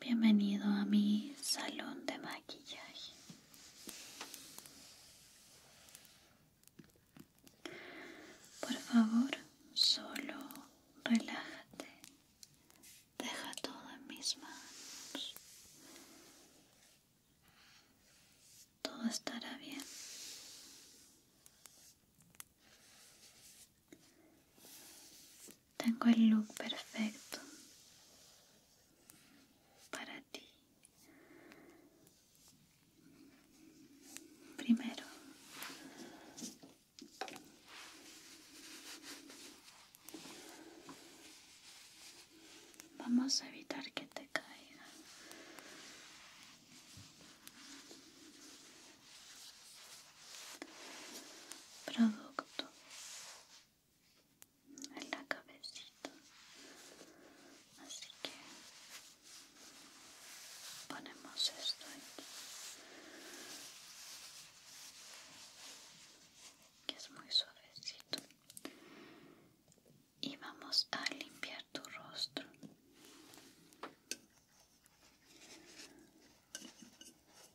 Bienvenido a mi salón de maquillaje. Por favor, solo relájate. Deja todo en mis manos. Todo estará bien. Tengo el look perfecto para ti. Primero, vamos a evitar que te caiga producto en la cabecita así que ponemos esto aquí que es muy suavecito y vamos a limpiar tu rostro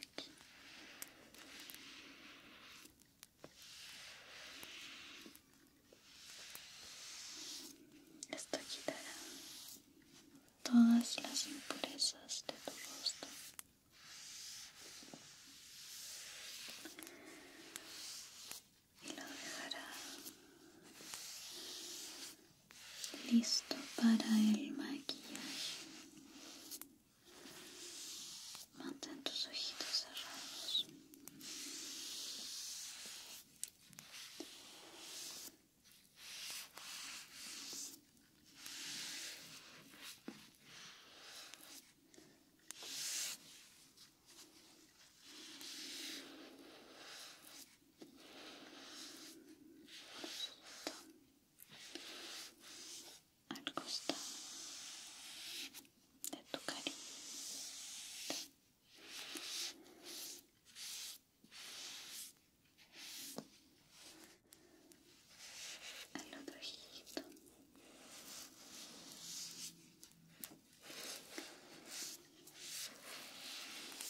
aquí esto quitará todas las impurezas de tu rostro y lo dejará listo para el maquillaje Mantén tus ojitos cerrados al costado de tu carita al otro ojito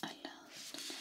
al lado de tu nariz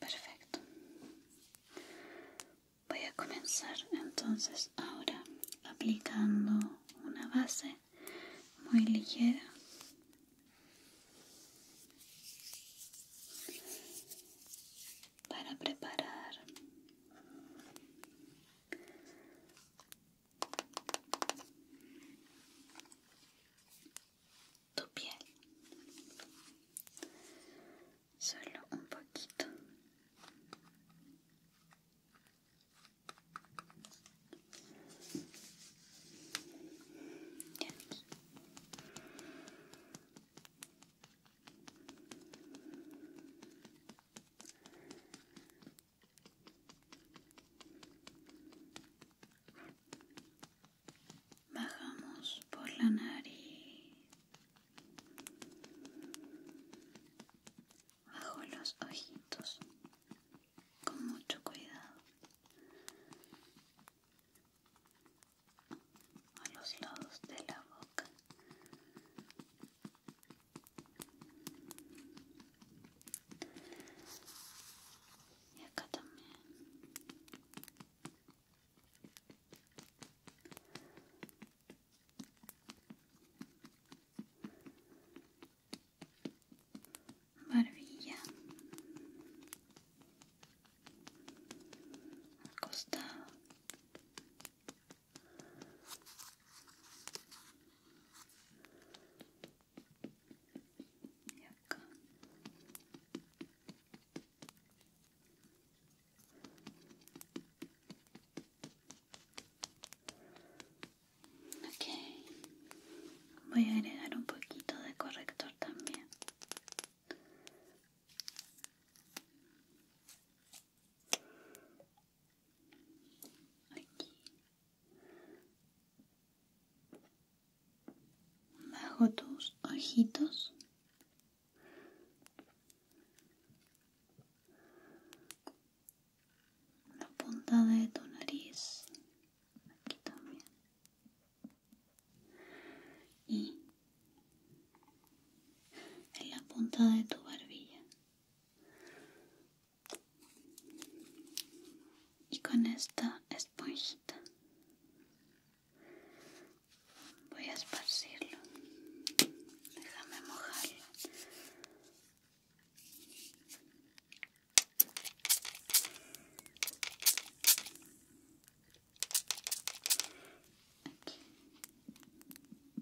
Perfecto. Voy a comenzar entonces ahora aplicando una base muy ligera para preparar tu piel solo un poquito Bajamos por la nariz, bajo los ojitos, con mucho cuidado, a los lados de la boca boca. Y acá también. Barbilla. Al costado. Y Ok, voy a agregar un poquito de corrector también aquí bajo tus ojitos la punta de tu nariz aquí también y en la punta de tu barbilla y con esta esponjita voy a esparcirlo déjame mojarlo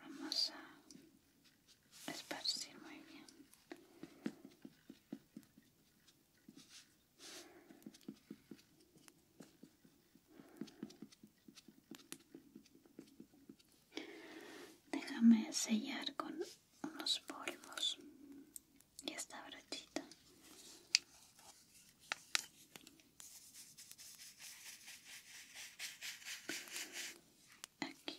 Vamos a esparcir muy bien Déjame sellar con unos polvos y esta brochita. Aquí.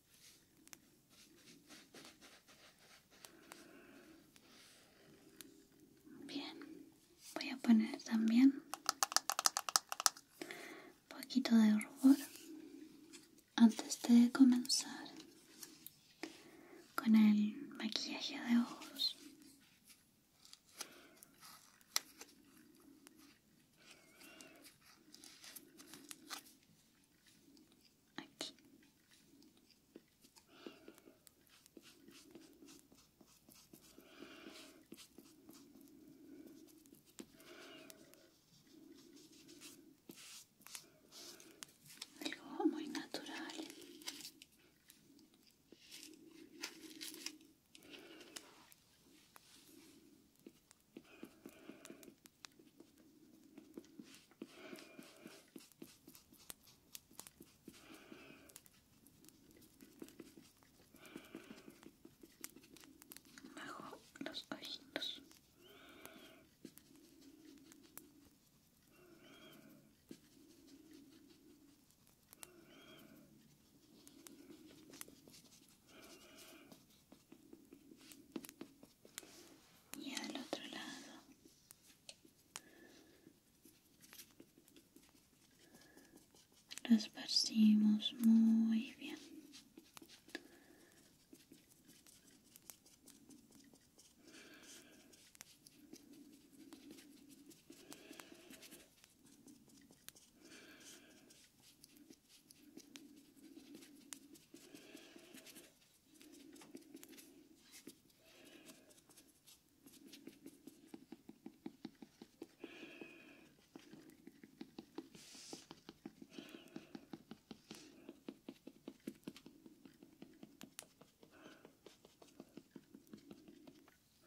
Bien, voy a poner también un poquito de rubor antes de comenzar con el maquillaje de ojos aquí algo muy natural bajo los ojitos y al otro lado lo esparcimos muy bien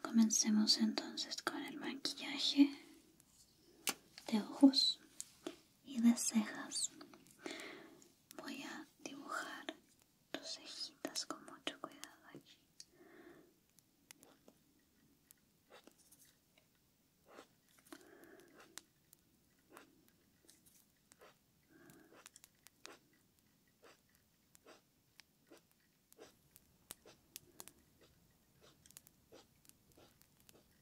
Comencemos entonces con el maquillaje de ojos y de cejas voy a dibujar tus cejitas con mucho cuidado aquí.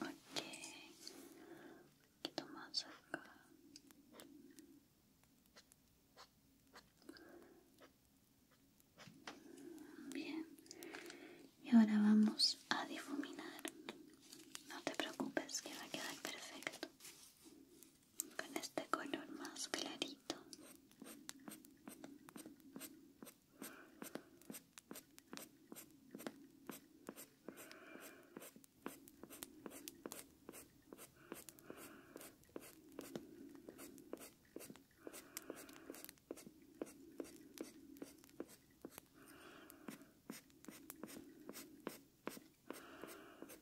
Ok, un más acá. Bien, y ahora vamos a difuminar. No te preocupes, que va a quedar perfecto con este color más clarito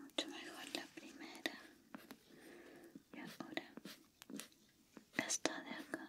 Mucho mejor la primera. Y ahora esta de acá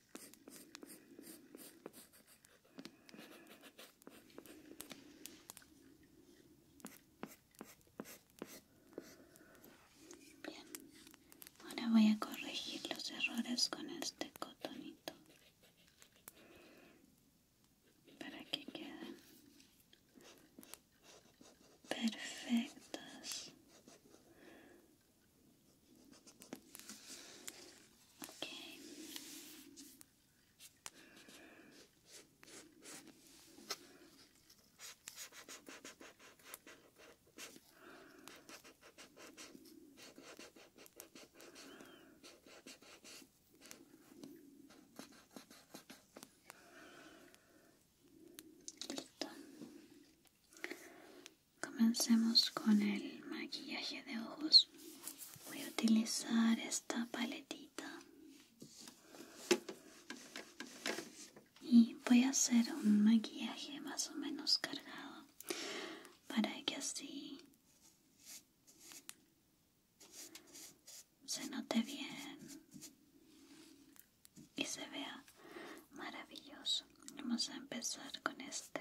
Bien, ahora voy a corregir los errores con este cotonito para que queden perfectas Okay. Comencemos con el maquillaje de ojos voy a utilizar esta paletita y voy a hacer un maquillaje más o menos cargado para que así se note bien y se vea maravilloso. Vamos a empezar con este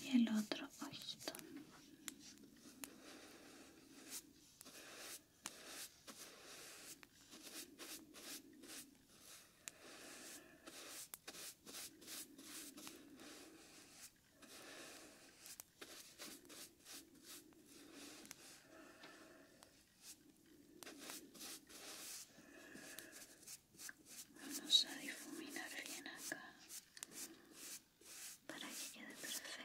y el otro ojito Vamos a difuminar bien acá para que quede perfecto.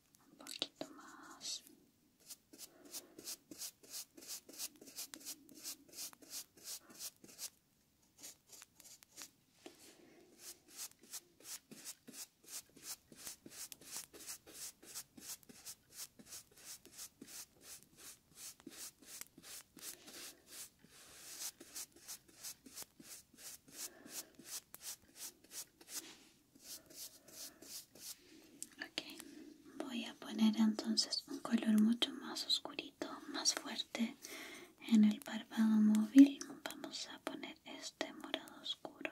un poquito más voy a poner entonces un color mucho más oscurito, más fuerte en el párpado móvil. Vamos a poner este morado oscuro.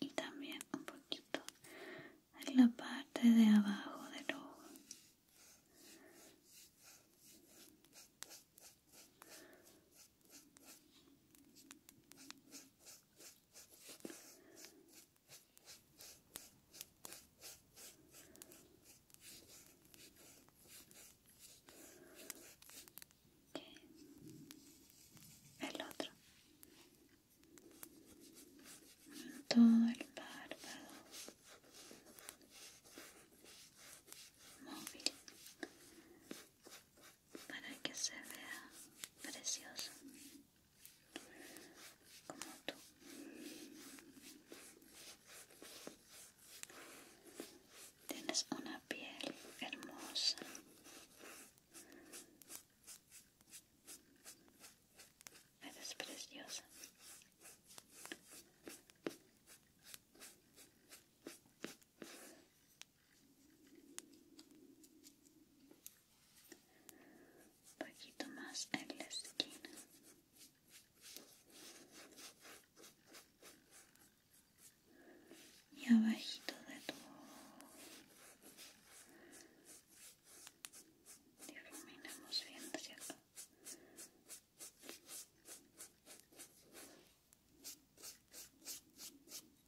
y también un poquito en la parte de abajo del ojo el otro todo el párpado móvil para que se vea precioso como tú tienes una piel hermosa eres preciosa un poquito más en la esquina y abajito de tu difuminamos bien cierto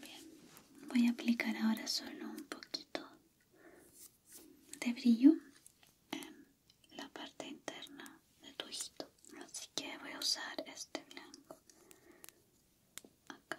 Bien, voy a aplicar ahora solo un poquito de brillo en la parte interna de tu ojito. Así que voy a usar este blanco acá.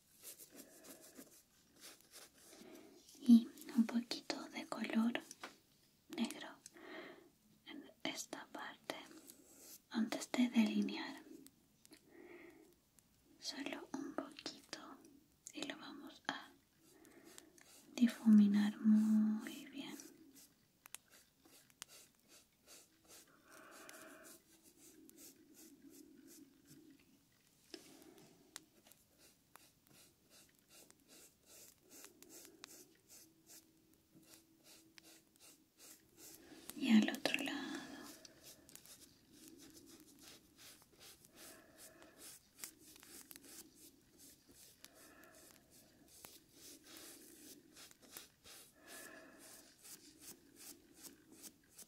y un poquito de color negro en esta parte antes de delinear solo un poquito y lo vamos a difuminar muy bien y al otro lado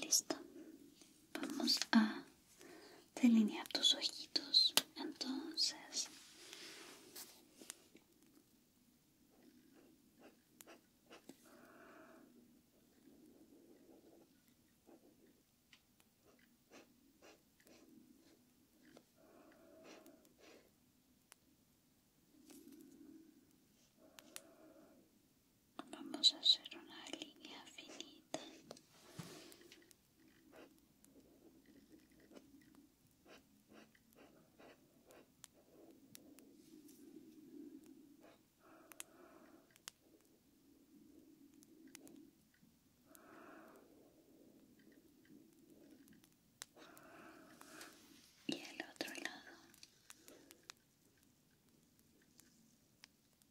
Listo. Vamos a delinear tus ojitos. Entonces, vamos a hacer una línea finita y el otro lado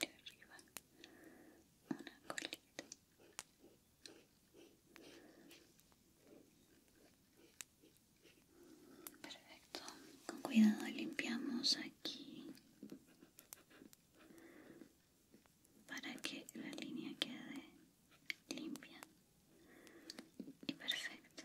de arriba una perfecto con cuidado limpiamos aquí para que la línea quede limpia y perfecto.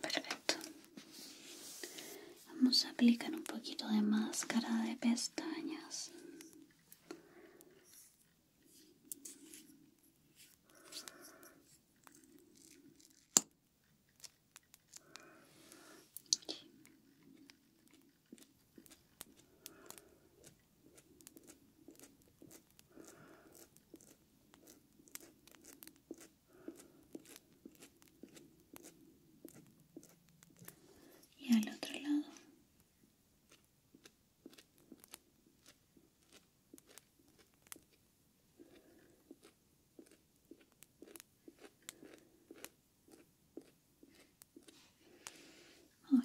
Perfecto. Vamos a aplicar un poquito de máscara de pestañas y al otro lado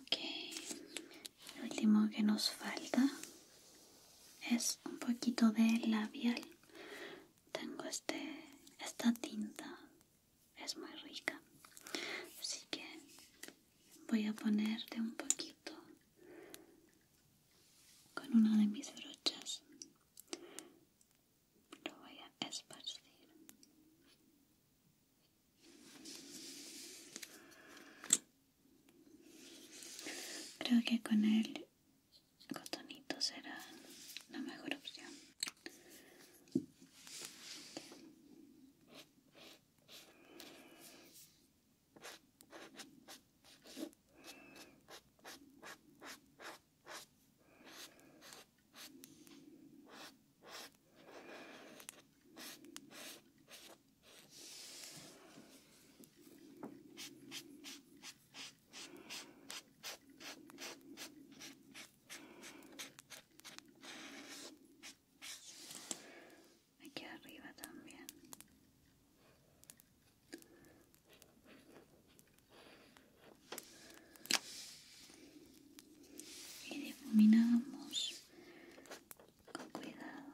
Okay. lo último que nos falta es un poquito de labial tengo este esta tinta es muy rica así que voy a poner de un poquito con una de mis brochas lo voy a esparcir creo que con él cotonito será la mejor opción aquí arriba también y difuminamos con cuidado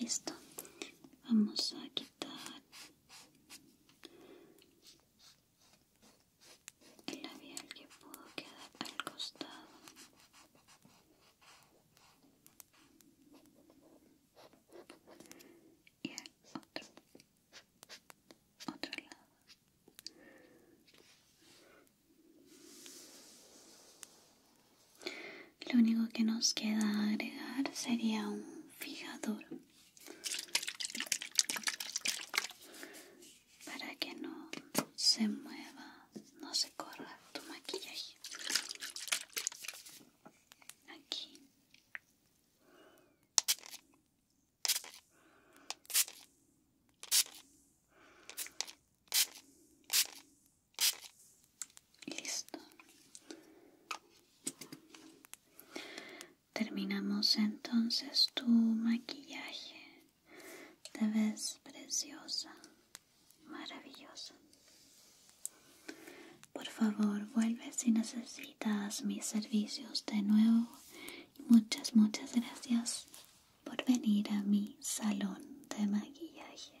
listo vamos a quitar el labial que pudo quedar al costado y otro otro lado lo único que nos queda agregar sería un fijador para que no se mueva, no se corra tu maquillaje. Aquí. Listo. Terminamos entonces tu maquillaje. Te ves preciosa, maravillosa. Por favor, vuelve si necesitas mis servicios de nuevo. Y muchas, muchas gracias por venir a mi salón de maquillaje.